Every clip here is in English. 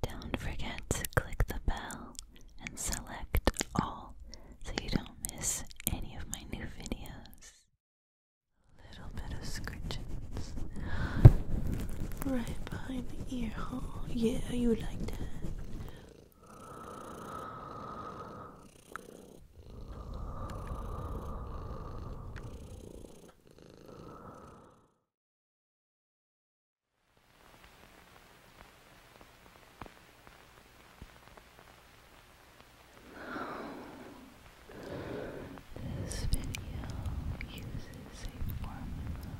Don't forget to click the bell and select all so you don't miss any of my new videos. little bit of scritches right behind the ear hole. Yeah, you like that. This video uses a formula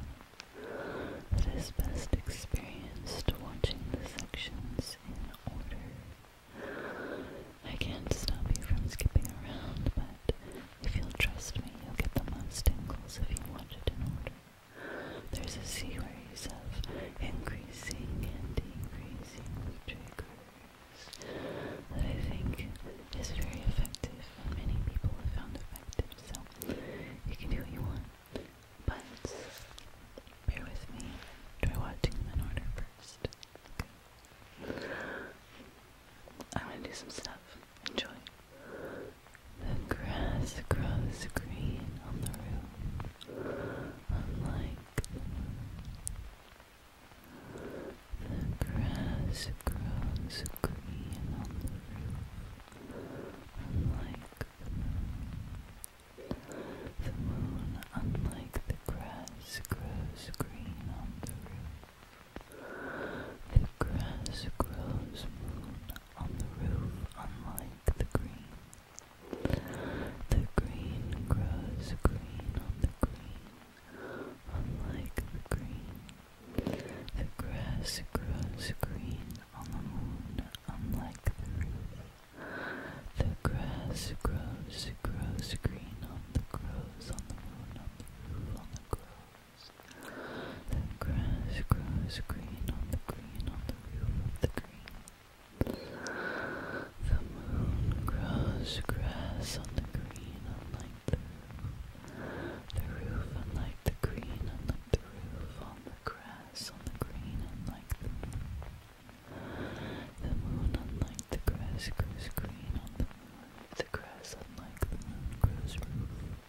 that is best experienced watching the sections in order. I can't stop you from skipping around, but if you'll trust me, you'll get the most tingles if you want it in order. There's a series of increasing and decreasing triggers that I think is very effective and many people have found effective, so you can do what you want. But bear with me, try watching them in order first. I'm gonna do some stuff. Enjoy. The grass grows green on the roof, unlike the grass grows green on the roof, unlike The moon, unlike the grass, grows green on the roof. The grass grows on the roof, unlike the green. The green grows green on the green, unlike the green. The grass grows green on the moon, unlike the roof. The grass grows, grows green on the groves, on the moon, on the roof, on the grove. The grass grows green on the green on the roof of the green. The moon grows grass on the green unlike the roof. The roof unlike the green unlike the roof on the grass on the green unlike the moon. The moon unlike the grass grows green on the moon. The grass unlike the moon grows roof.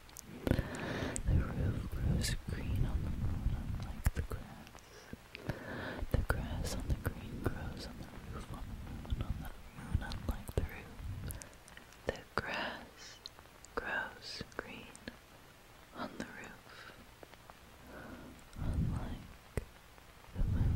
The roof grows green on the moon, unlike the grass. The grass on the green grows on the roof, on the moon, on the moon, unlike the roof. The grass grows green on the roof, unlike the moon.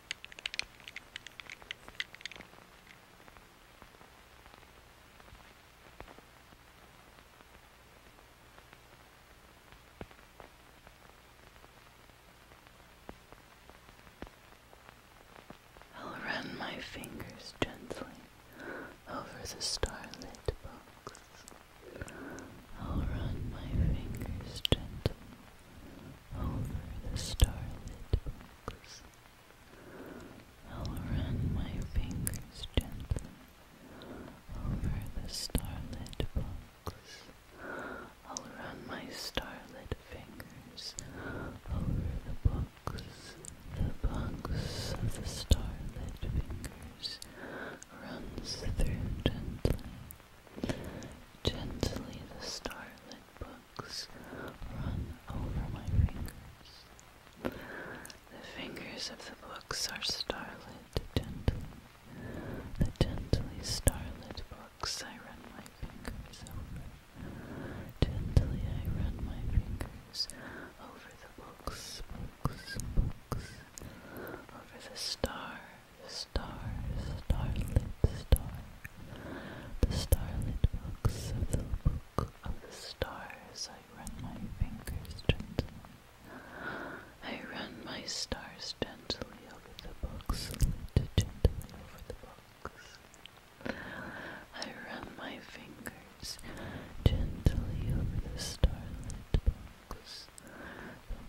I'll run my fingers gently over the starlit box. I'll run my fingers gently over the starlit books. I'll run my fingers gently over the starlit books. I'll run my starlit fingers over the books. The books of the starlit fingers runs through gently Gently the starlit books run over my fingers. The fingers of the books are starlit gently. The gently starlit books I run my fingers over. Gently I run my fingers over the books, books, books. Over the star stars, starlit star, the starlit books of the book of the stars. I run my fingers gently. I run my stars gently over the books, gently over the books. I run my fingers gently over the starlit books.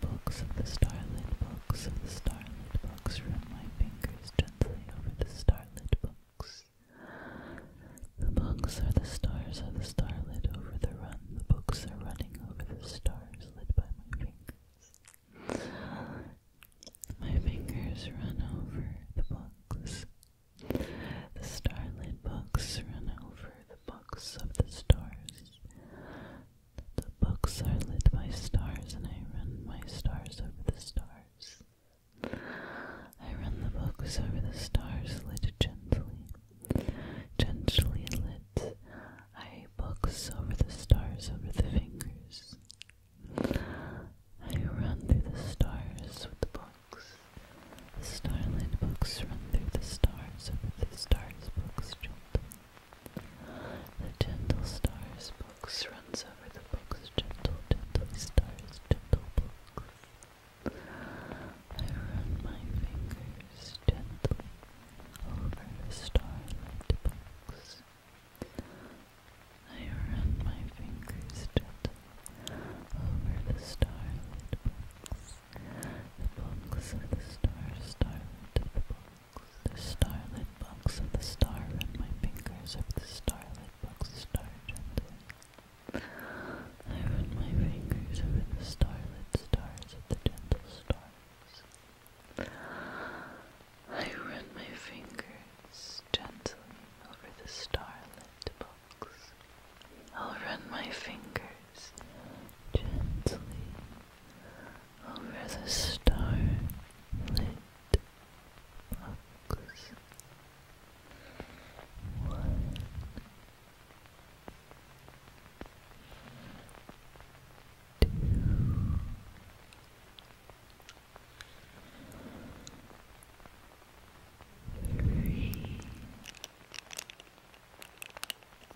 The books of the starlit books of the starlit books run my fingers gently over the starlit books. The books are the stars of the starlit over the run. The books are running over the stars lit by my fingers. My fingers run over the books. The starlit books run over the books of the stars. The books are lit by stars, and I run my stars over the stars. I run the books over the stars, lit gently. Gently lit, I books over the stars, over the fingers. I run through the stars with the books. The starlit books run through the stars, over the stars, books gently. The gentle stars books runs over the books, gentle, gentle stars, gentle books. I run my fingers gently over the starlit books. I run my fingers gently over the starlit books. The books of the stars, starlit books. The starlit box of the star and my fingers of the starlit box star I run my fingers over the starlit stars of the gentle stars. I run my fingers gently over the starlit box. I'll run my fingers gently over the star-lit box.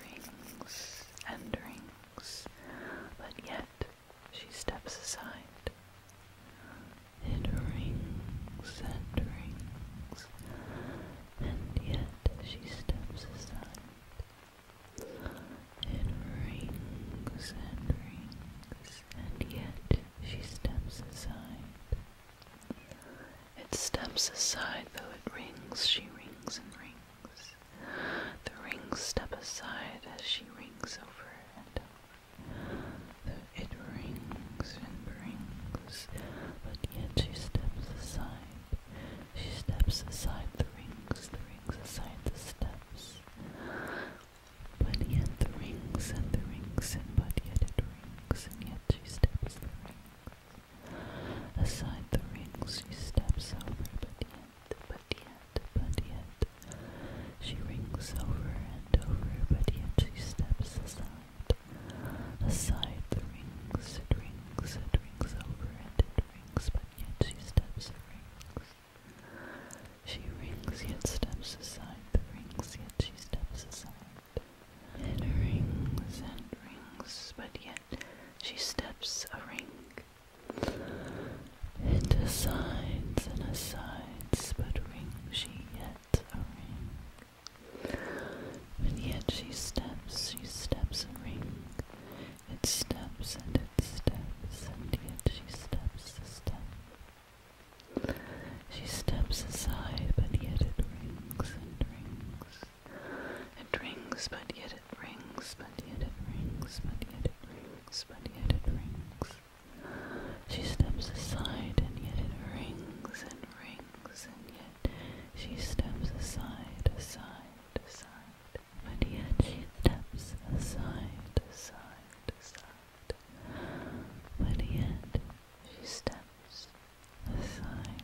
Rings and rings, but yet she steps aside. It rings and rings, and yet she steps aside. It rings and rings, and yet she steps aside. It steps aside, though it rings, she rings and rings. The rings step aside as she rings over and over. Though it rings and rings, but yet she steps aside. She steps aside the rings, the rings aside the steps. But yet the rings and the rings and but yet it rings and yet she steps the rings. Aside the rings she steps over but yet, but yet, but yet. She rings over and over but yet she steps aside. Aside the rings, it rings, it rings over and it rings but yet she steps the rings. She rings yet steps aside, the rings yet she steps aside. It rings and rings, but yet she steps a ring. It asides and asides, but ring she yet a ring. But yet she steps, she steps a ring. It steps and it steps, and yet she steps a step. She steps aside, but yet it rings and rings. It rings, but yet it rings, but yet it rings, but yet it rings, but yet it rings. She steps aside, and yet it rings and rings, and yet she steps aside, aside, aside. But yet she steps aside, aside, aside. By the she steps aside.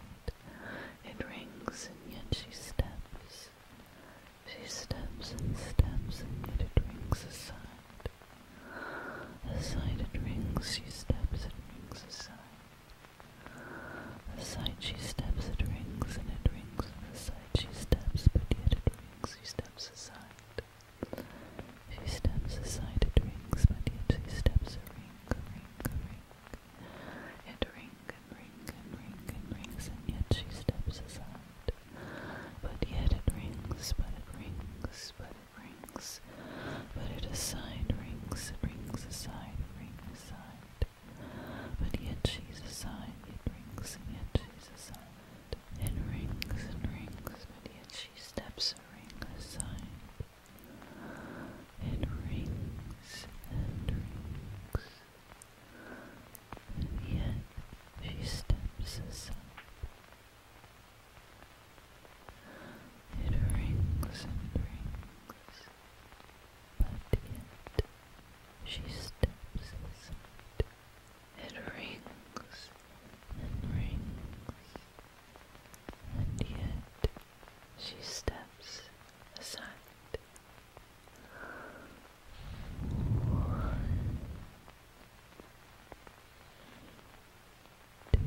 It rings, and yet she steps. She steps and steps, and yet it rings aside. Aside it rings, she steps, it rings aside. Aside she steps, it rings, and it rings. Aside she steps, but yet it rings, she steps aside. She steps aside, it rings, my dear, she steps and ring and ring and rings, and yet she steps aside. But yet it rings, but it rings, but it rings. But it aside rings, rings aside, rings aside. But yet she's aside, it rings, and yet she's aside and rings and rings, but yet she steps a ring aside. It rings and rings, and yet she steps aside. It rings and rings, but yet she steps aside. It rings and rings, and yet she steps aside. One, two, three,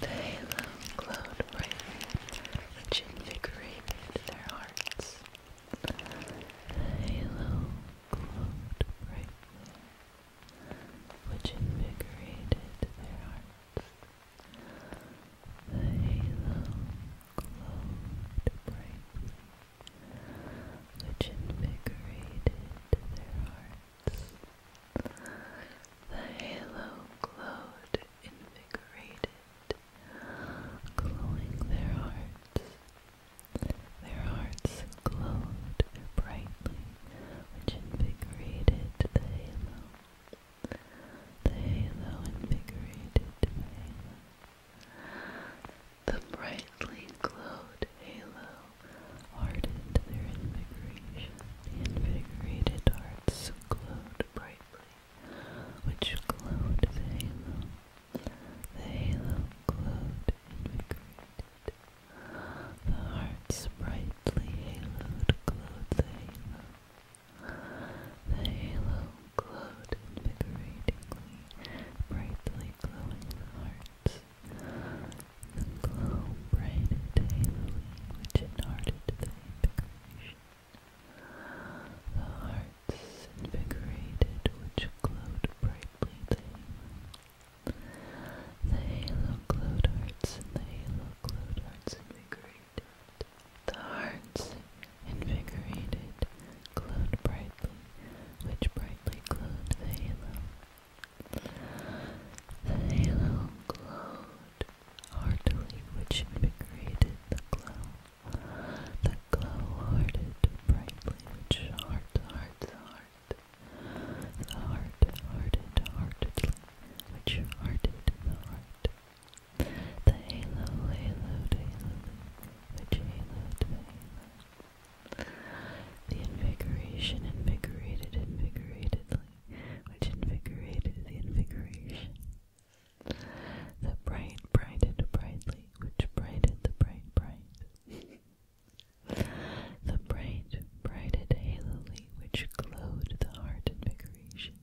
The halo glowed brightly, which invigorated their hearts. The halo glowed brightly, which invigorated their hearts. The halo glowed brightly, which invigorated their hearts. The halo glowed invigorated, glowing their hearts. Their hearts glowed brightly, which invigorated the halo. The halo invigorated the The brightly glowed halo hardened their invigoration. The invigorated hearts glowed brightly, which glowed the halo. The halo glowed invigorated. The heart's brightly haloed glowed the halo. The halo glowed invigoratingly, brightly glowing the hearts. The glow brightened haloing, which enhearted the invigoration. The hearts invigorated, which glowed brightly the halo. The halo glowed hearts, and the halo glowed hearts invigorated. The hearts invigorated glowed brightly, which brightly glowed the halo. The halo glowed heartily, which invigorated the glow. The glow hearted brightly, which heart hearts heart the heart, hearted, heartedly, which hearted the heart. The halo, haloed, haloed, which haloed the halo. The invigoration, invigorated, invigoratedly, which invigorated the invigoration. The bright, brighted, brightly, which brighted the bright, bright. The bright, brighted halo which glowed the heart invigoration.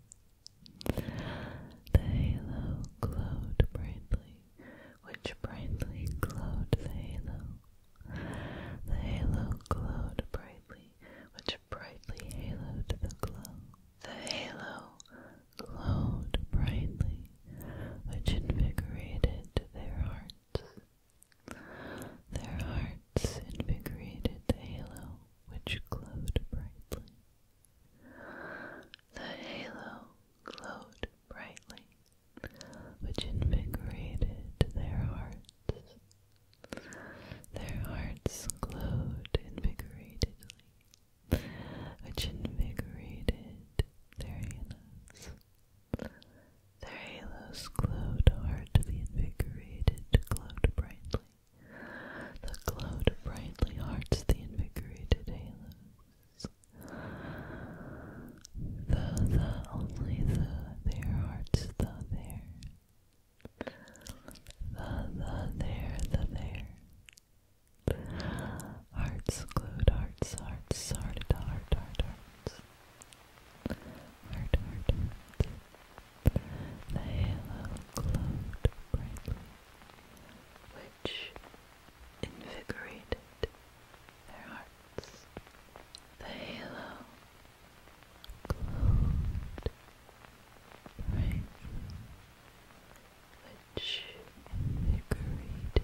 The halo glowed brightly, which brightly glowed the halo. The halo glowed brightly, which brightly haloed the glow. The halo glowed brightly, which invigorated their hearts. Their hearts invigorated the halo which glowed brightly. The halo glowed brightly, which invigorated their hearts. Their hearts glowed invigoratedly, which invigorated their halos. Their halos glowed hardly invigorated, glowed brightly. The glowed brightly hearts, the invigorated halos. The, the, only the, their hearts, the, there. The, the, there, the, there. Hearts, glowed hearts, hearts, hearted, heart, heart, hearts. Heart, heart, The halo glowed brightly, which invigorated their hearts. The halo glowed brightly, which invigorated